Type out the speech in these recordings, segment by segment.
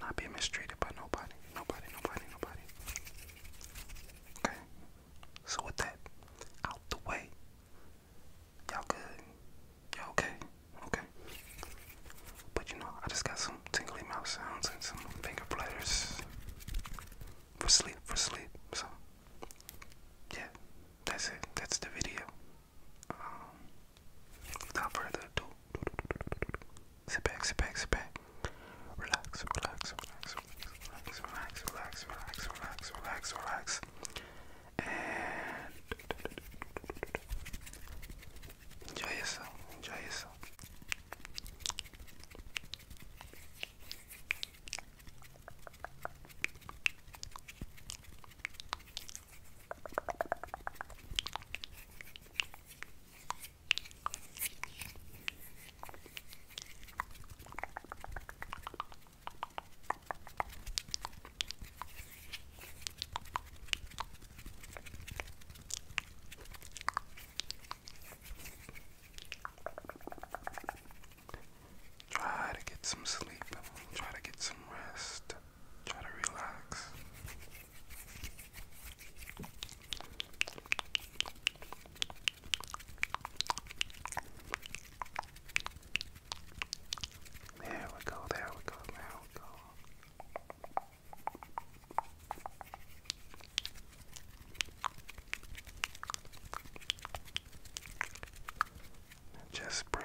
Not being mistreated by nobody. Nobody, nobody, nobody. Okay? So with that out the way. Y'all good? Y'all okay? Okay. But you know, I just got some tingly mouth sounds and some finger players for sleep, for sleep. So, yeah, that's it. That's the video. Um, without further ado, sit back, sit back, sit back. Relax, relax, relax, relax, relax, relax, relax, relax, relax, relax, and enjoy yourself, enjoy yourself. Try to get some sleep. Try to get some rest. Try to relax. There we go, there we go, there we go. just breathe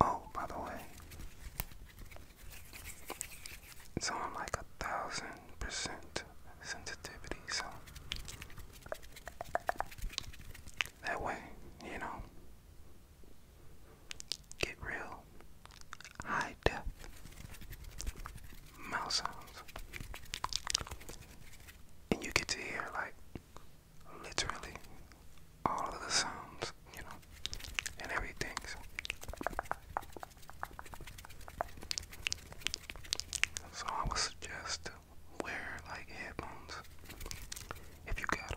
Oh, by the way, it's on like a thousand percent sensitivity, so that way, you know, get real high depth mouth sounds, and you get to hear like literally all of the sounds, you know, and everything. So. I would suggest wear like headphones if you got them.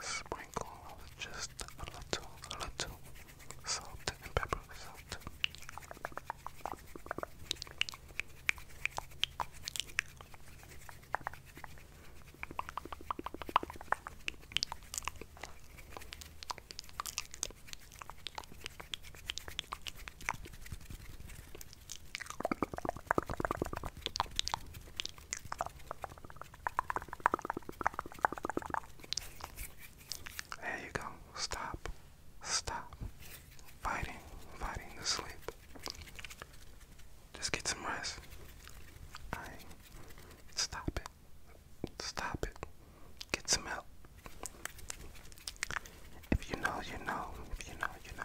Sprinkle just a little, a little salt and pepper salt. There you go. Stop. Stop fighting, fighting to sleep. Just get some rest. stop it. Stop it. Get some help. If you know, you know. If you know, you know.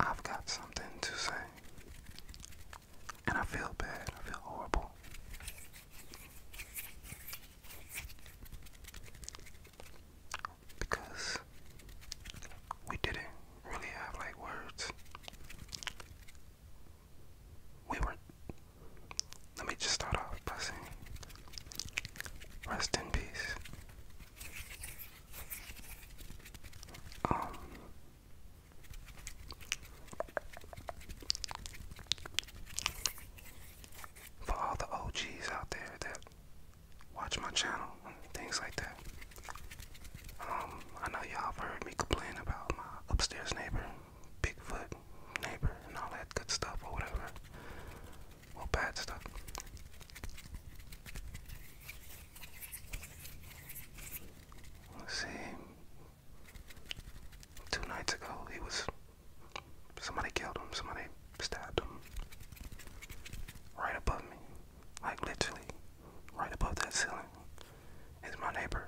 I've got something to say. And I feel bad. I feel horrible. Because we didn't really have like words. We were let me just start off by saying, rest in peace. Um, for all the OGs out there that watch my channel things like that, um, I know y'all have heard me complain about my upstairs neighbor. Bigfoot, neighbor, and all that good stuff or whatever. Or bad stuff. see. Two nights ago, he was. Somebody killed him, somebody stabbed him. Right above me. Like literally, right above that ceiling is my neighbor.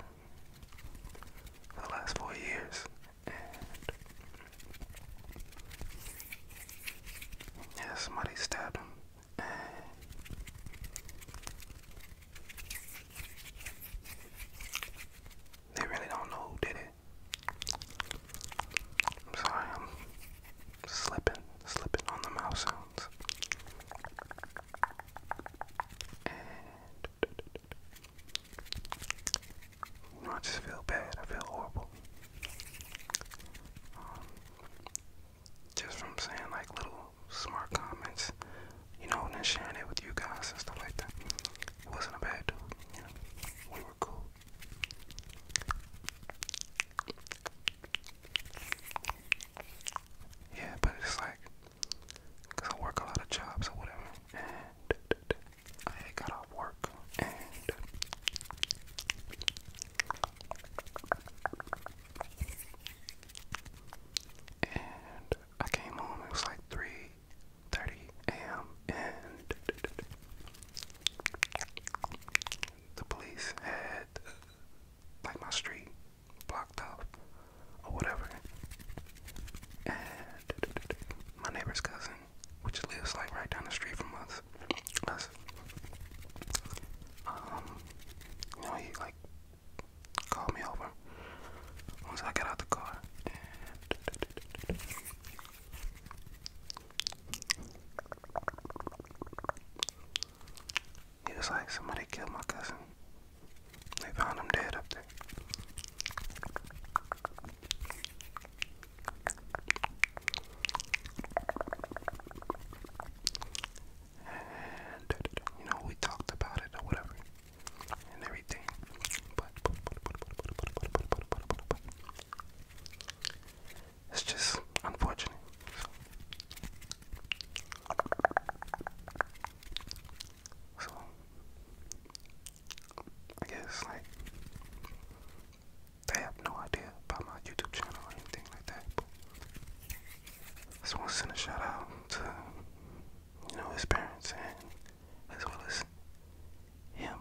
For the last four years, and yeah, somebody stabbed him. they really don't know who did it. sorry, I'm slipping, slipping on the mouse sounds. I just feel bad. I feel horrible. just from saying like little smart comments, you know, and sharing it with you guys and stuff like that. wasn't a bad dude, We were cool. Yeah, but it's like, cause I work a lot of jobs or whatever, I got off work and I came home. It was like three thirty a.m. and the police had like my street blocked off or whatever. And my neighbor's cousin, which lives like right down the street from us. us. Um, you know, he like called me over once I got out the car. he was like, somebody killed my cousin. They found him dead up there you know we talked about it or whatever and everything. But it's just unfortunate. So I guess like they have no idea about my YouTube channel or anything like that. just want to send a shout out to you know his parents and as well as him.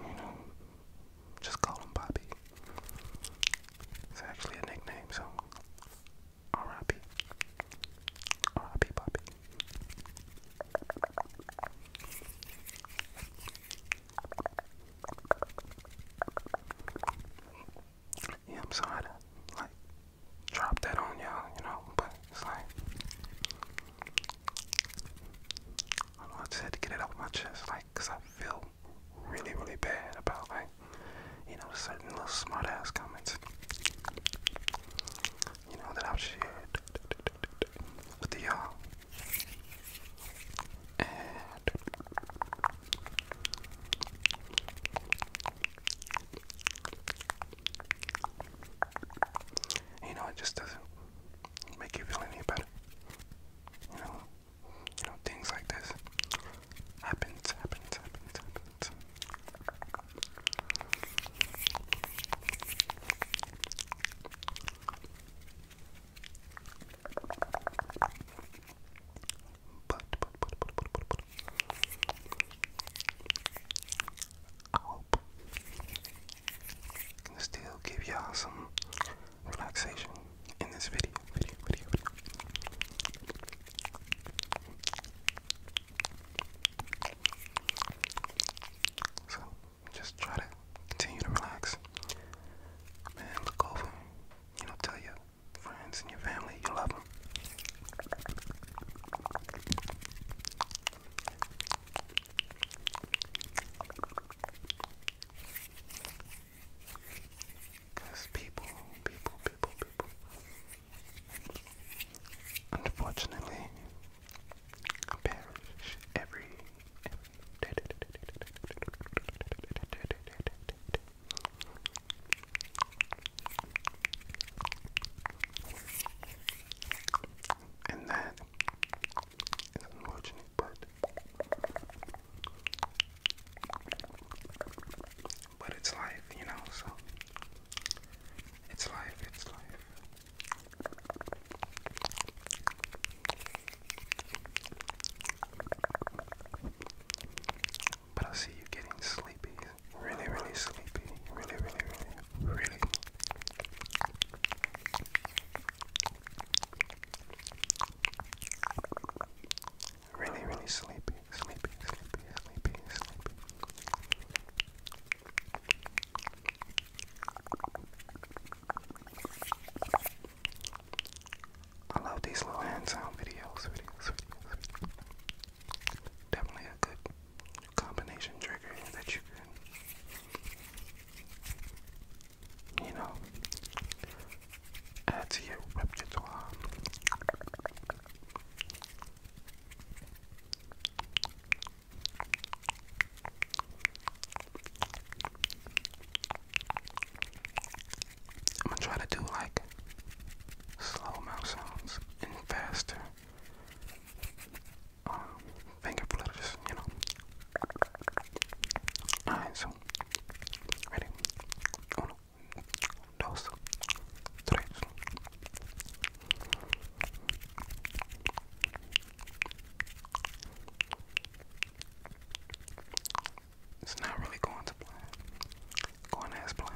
you know, just call him Bobby. It's actually a nickname, so R.I.P. R.I.P. Poppy. Yeah, I'm sorry like drop that on y'all, you know, but it's like I don't know, I just had to get it off my chest, like, cause I feel really, really bad about like, you know, certain little smart ass comments. You know, that I've shared with the y'all. And you know, it just doesn't make you feel any better. You know, you know, things like this happens, happens, happens, happens. But, but, but, but, but, but, but. I hope can still give y'all some relaxation in this video. So just try to continue to relax. Man, look over. You know, tell your friends and your family you love them. Because people, people, people, people. Unfortunately, perish every. and that is unfortunate, but but it's life, you know, so it's life, it's life. But I see you getting sleepy, really, really sleepy, really, really, really, really. Really, really sleepy, sleepy, sleepy, sleepy, sleepy. I love these little hand videos. Definitely a good combination trigger that you can, you know, add to your repertoire. I'm gonna try to do like slow mouth sounds and faster um, finger flutters, you know. so Ready? It's not really going to plan. Going as planned.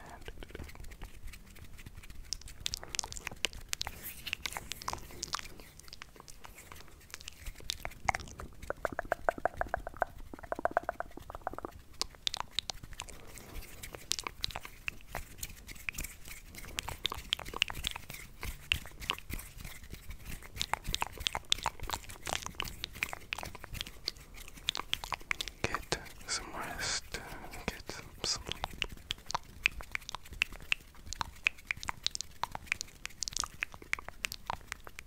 Get some rest, get some sleep.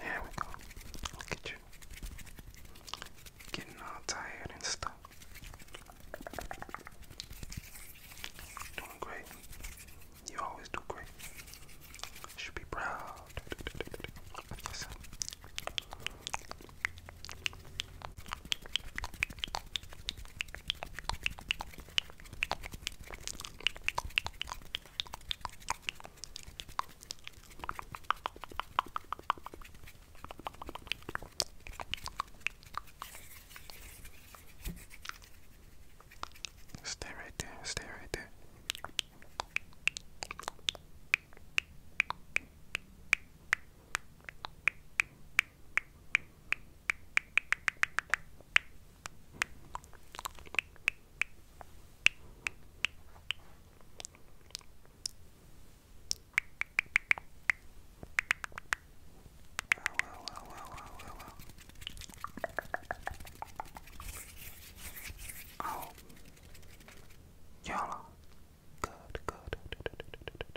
There we go. Look at you. Getting all tired and stuff. Doing great. You always do great. Should be proud. Stay right there, stay right there well, well, well, well, well. Oh, y'all, good, good,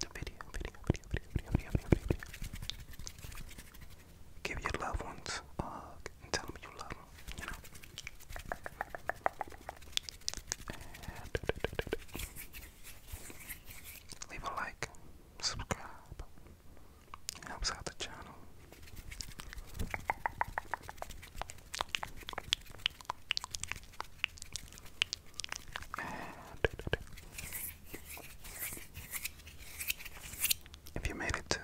the video, video, video, video, video, video, video, video. Give your loved ones a hug and tell them you love them, leave a like, subscribe, helps out the channel. If you made it to,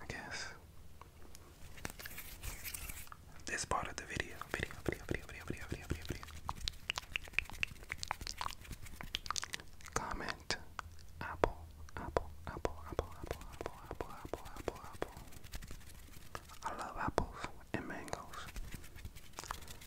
I guess, this part of the video, video, video, video, video, video, video, video, video. Comment Apple, Apple, Apple, Apple, Apple, Apple, Apple, Apple, Apple, Apple. I love apples and mangoes.